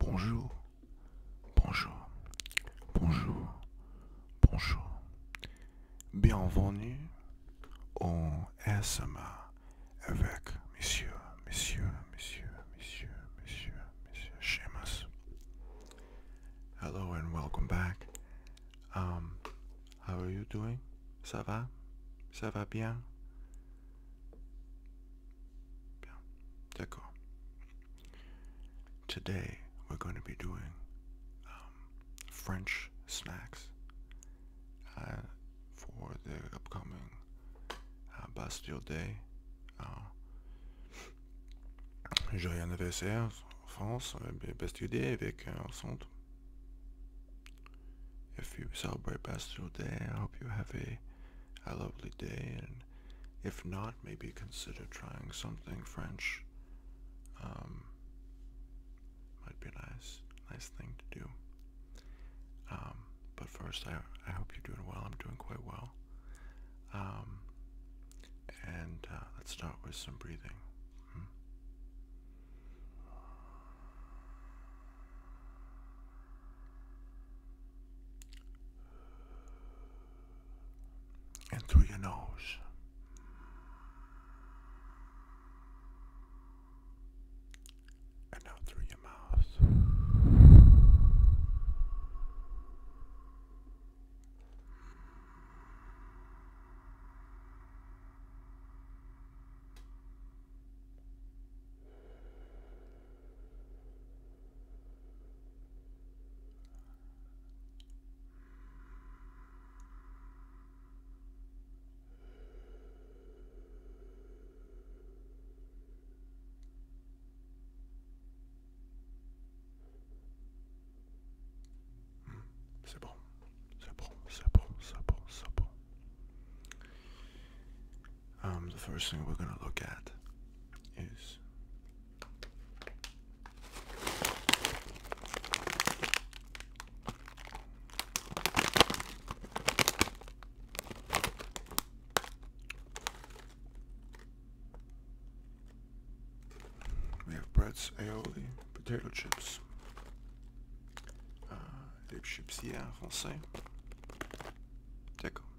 Bonjour, bonjour, bonjour, bonjour. Bienvenue au SMA avec monsieur, monsieur, monsieur, monsieur, monsieur, monsieur Seamus. Hello and welcome back. Um, how are you doing? Ça va? Ça va bien? Bien, d'accord. Today we're going to be doing um, French snacks uh, for the upcoming uh, Bastille Day. Uh, J'ai rien France, Bastille Day avec un centre. If you celebrate Bastille Day, I hope you have a a lovely day, and if not, maybe consider trying something French. Um, might be nice, nice thing to do. Um, but first, I, I hope you're doing well. I'm doing quite well. Um, and uh, let's start with some breathing. Hmm? and through your nose. And out through your mouth. C'est bon, c'est bon, c'est bon, c'est bon, c'est bon. Um, the first thing we're gonna look at is we have breads, aioli, potato chips, uh, chips hier en D'accord.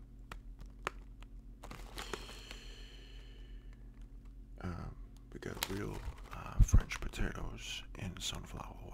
Um, we got real uh, French potatoes in sunflower oil.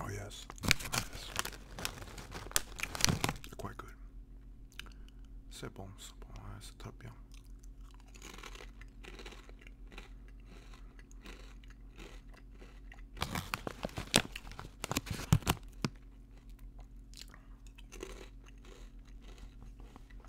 Oh yes, yes. quite good. C'est bon, c'est bon, c'est très bien.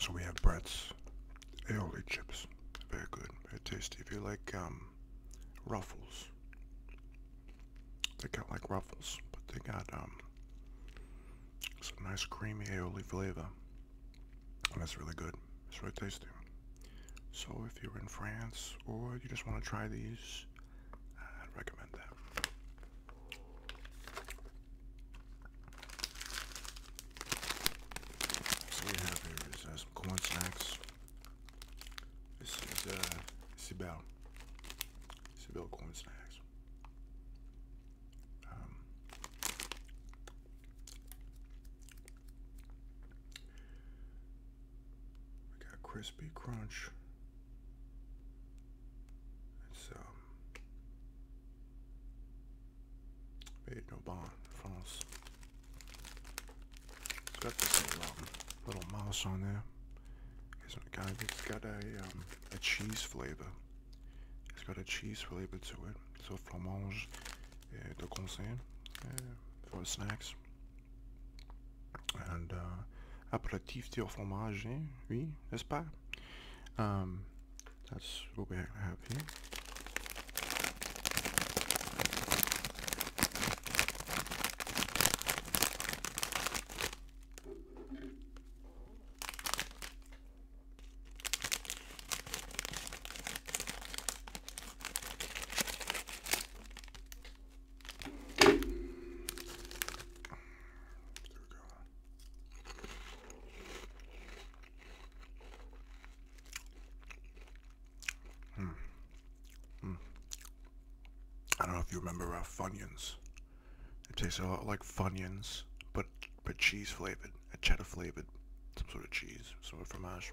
So we have Brett's aioli chips. Very good, very tasty. If you like um, ruffles, they got like ruffles, but they got um, some nice creamy aioli flavor. And that's really good. It's really tasty. So if you're in France or you just want to try these, i recommend that. So we have here is uh, some corn snacks. This is uh, Sibel. Sibel corn snacks. Um, we got crispy crunch. It's um, Made no bond, France. It's got this little, um, little mouse on there. It's got, um, a, cheese flavor. It's got a cheese flavor to it. So fromage eh, de conseil uh, for snacks. And uh, apéritif au fromage, oui, n'est-ce pas? Um, that's what we have here. There we go. Hmm. hmm. I don't know if you remember uh, Funyuns. It tastes a lot like Funyuns, but but cheese flavored, a cheddar flavored, some sort of cheese, sort of fromage.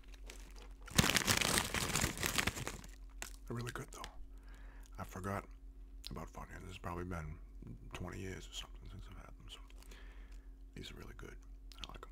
They're really good though. I forgot about This has probably been 20 years or something since I've had them. So these are really good. I like them.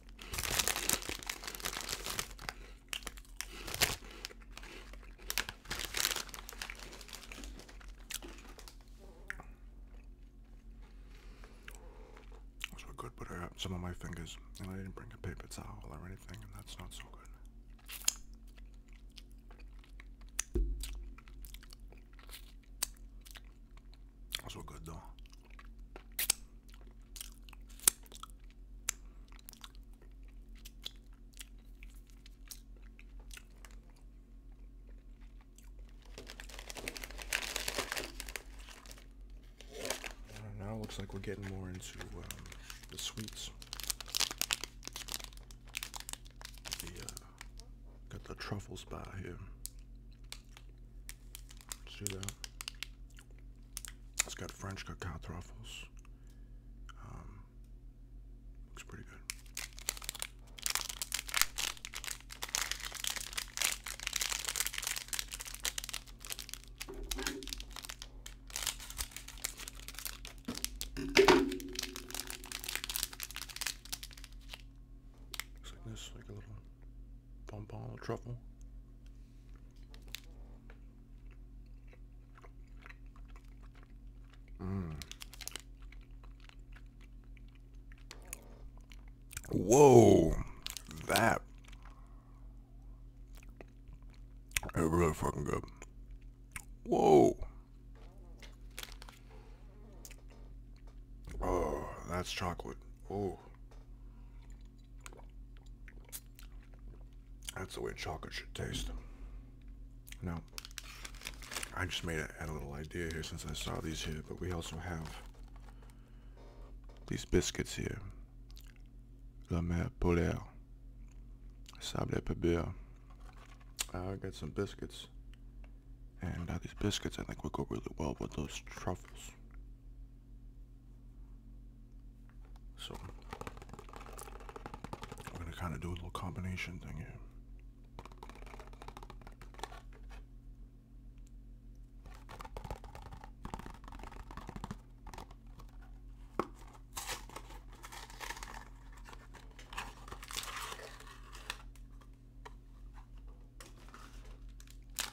So I could some of my fingers, and I didn't bring a paper towel or anything, and that's not so good. Also good though. Uh, now it looks like we're getting more into um, the sweets. Uh, got the truffles by here. Let's do that. It's got French cacao truffles. Um, looks pretty good. Looks like this, like a little pom or truffle. Mm. Whoa, that it really fucking good. Whoa. Oh, that's chocolate. Oh. That's the way chocolate should taste. Now, I just made a, had little idea here since I saw these here, but we also have these biscuits here. La mère polaire. Sable pebble. I got some biscuits. And uh, these biscuits I think would go really well with those truffles. So I'm going to kind of do a little combination thing here.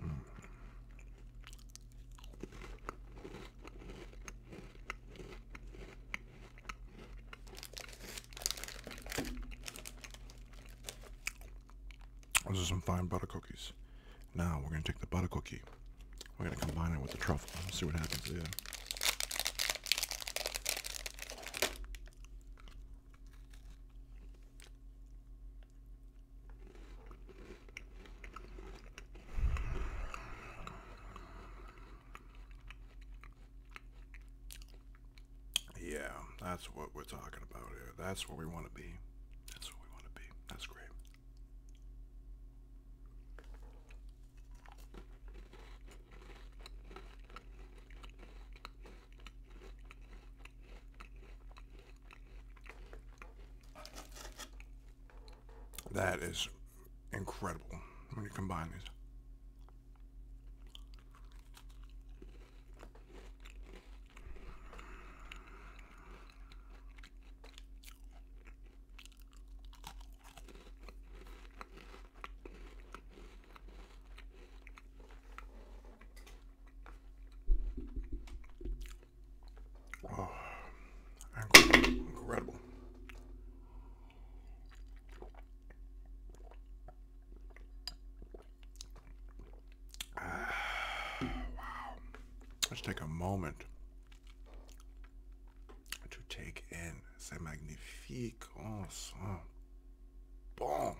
Mm. Those are some fine butter cookies. Now we're going to take the butter cookie. We're going to combine it with the truffle. see what happens there. Yeah, that's what we're talking about here. That's where we want to be. That's where we want to be. That's great. That is incredible when you combine these. Oh, incredible. wow. Let's take a moment to take in C'est magnifique. Oh, on bon.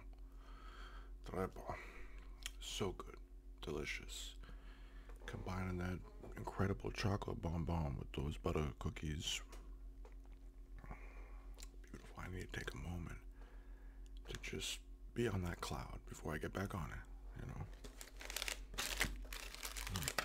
So good. Delicious. Combining that incredible chocolate bonbon with those butter cookies. Beautiful. I need to take a moment to just be on that cloud before I get back on it, you know. Hmm.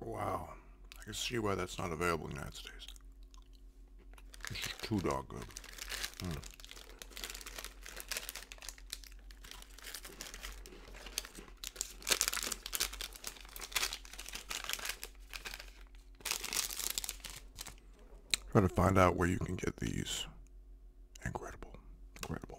Wow. I can see why that's not available in the United States. This is too dog good. Hmm. Try to find out where you can get these. Incredible. Incredible.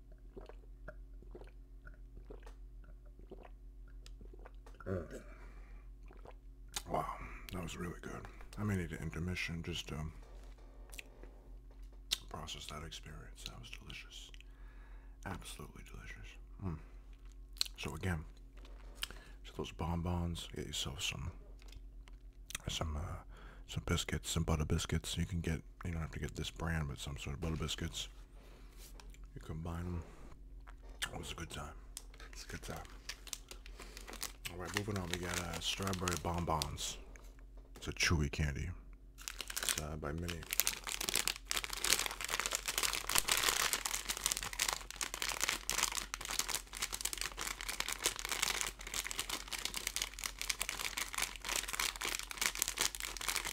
Wow, that was really good. I may need an intermission just to process that experience. That was delicious. Absolutely delicious. Hmm. So again, so those bonbons, get yourself some some uh, some biscuits, some butter biscuits. You can get, you don't have to get this brand, but some sort of butter biscuits. You combine them. it was a good time. It's a good time. All right, moving on. We got uh, strawberry bonbons. It's a chewy candy. Uh, by Mini.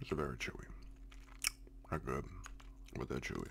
It's very chewy. Not good, but that chewy.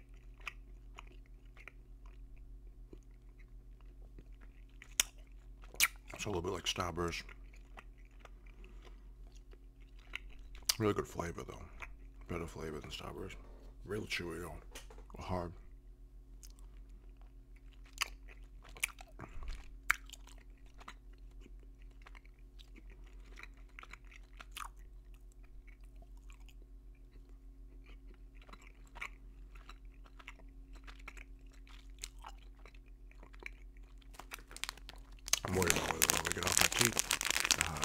It's a little bit like Starburst. Really good flavor though. Better flavor than Starburst. Real chewy though. Hard. I'm worried about whether I want to get off my teeth. Uh,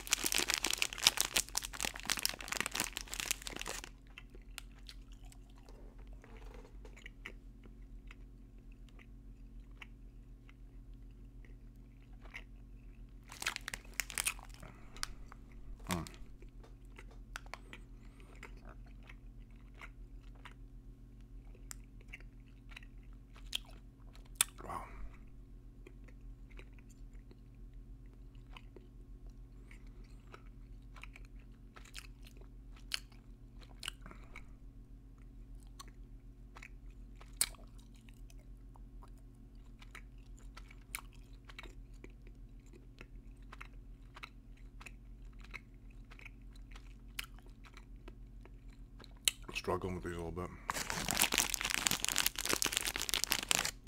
Mm. Wow struggling with these a little bit.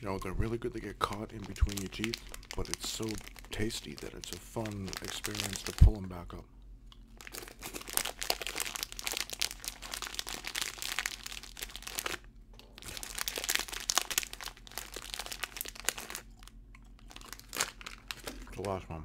You know, they're really good to get caught in between your teeth, but it's so tasty that it's a fun experience to pull them back up. The last one.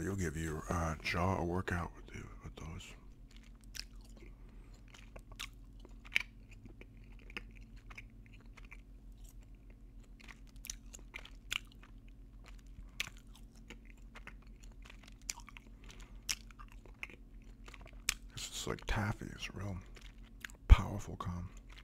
you'll give your uh, jaw a workout with, with those. This is like taffy. It's real powerful calm.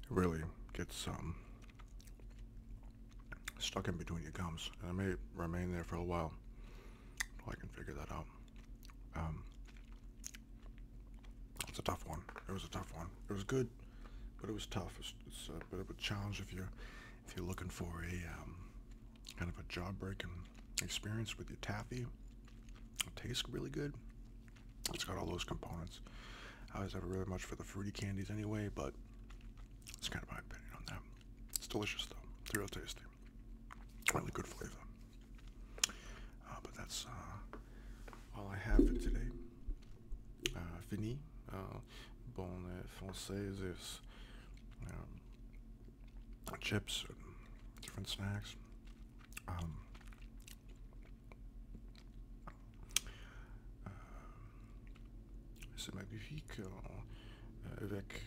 It really gets um, stuck in between your gums, and it may remain there for a while I can figure that out. Um, it's a tough one. It was a tough one. It was good, but it was tough. It's, a uh, bit of a challenge if you're if you're looking for a um, kind of a jaw breaking experience with your taffy. It tastes really good. It's got all those components. I always have never really much for the fruity candies anyway, but it's kind of my opinion on that. It's delicious though. It's real tasty. Really good flavor. Uh, but that's uh, all I have for today. Uh, fini. Uh, uh Françaises um, chips, different snacks. Euh, euh, c'est magnifique avec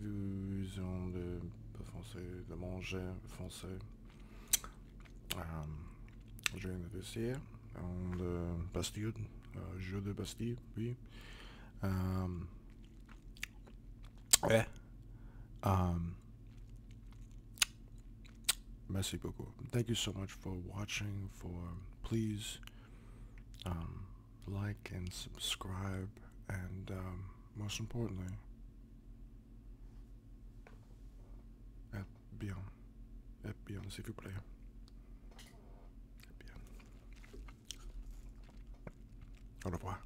une vision de, manger français. Um, un euh, viens de Bastille, jeu de Bastille, oui. Um, Ouais. Um, merci beaucoup. Thank you so much for watching. For please um, like and subscribe, and um, most importantly, et bien, et bien, s'il vous plaît. Au revoir.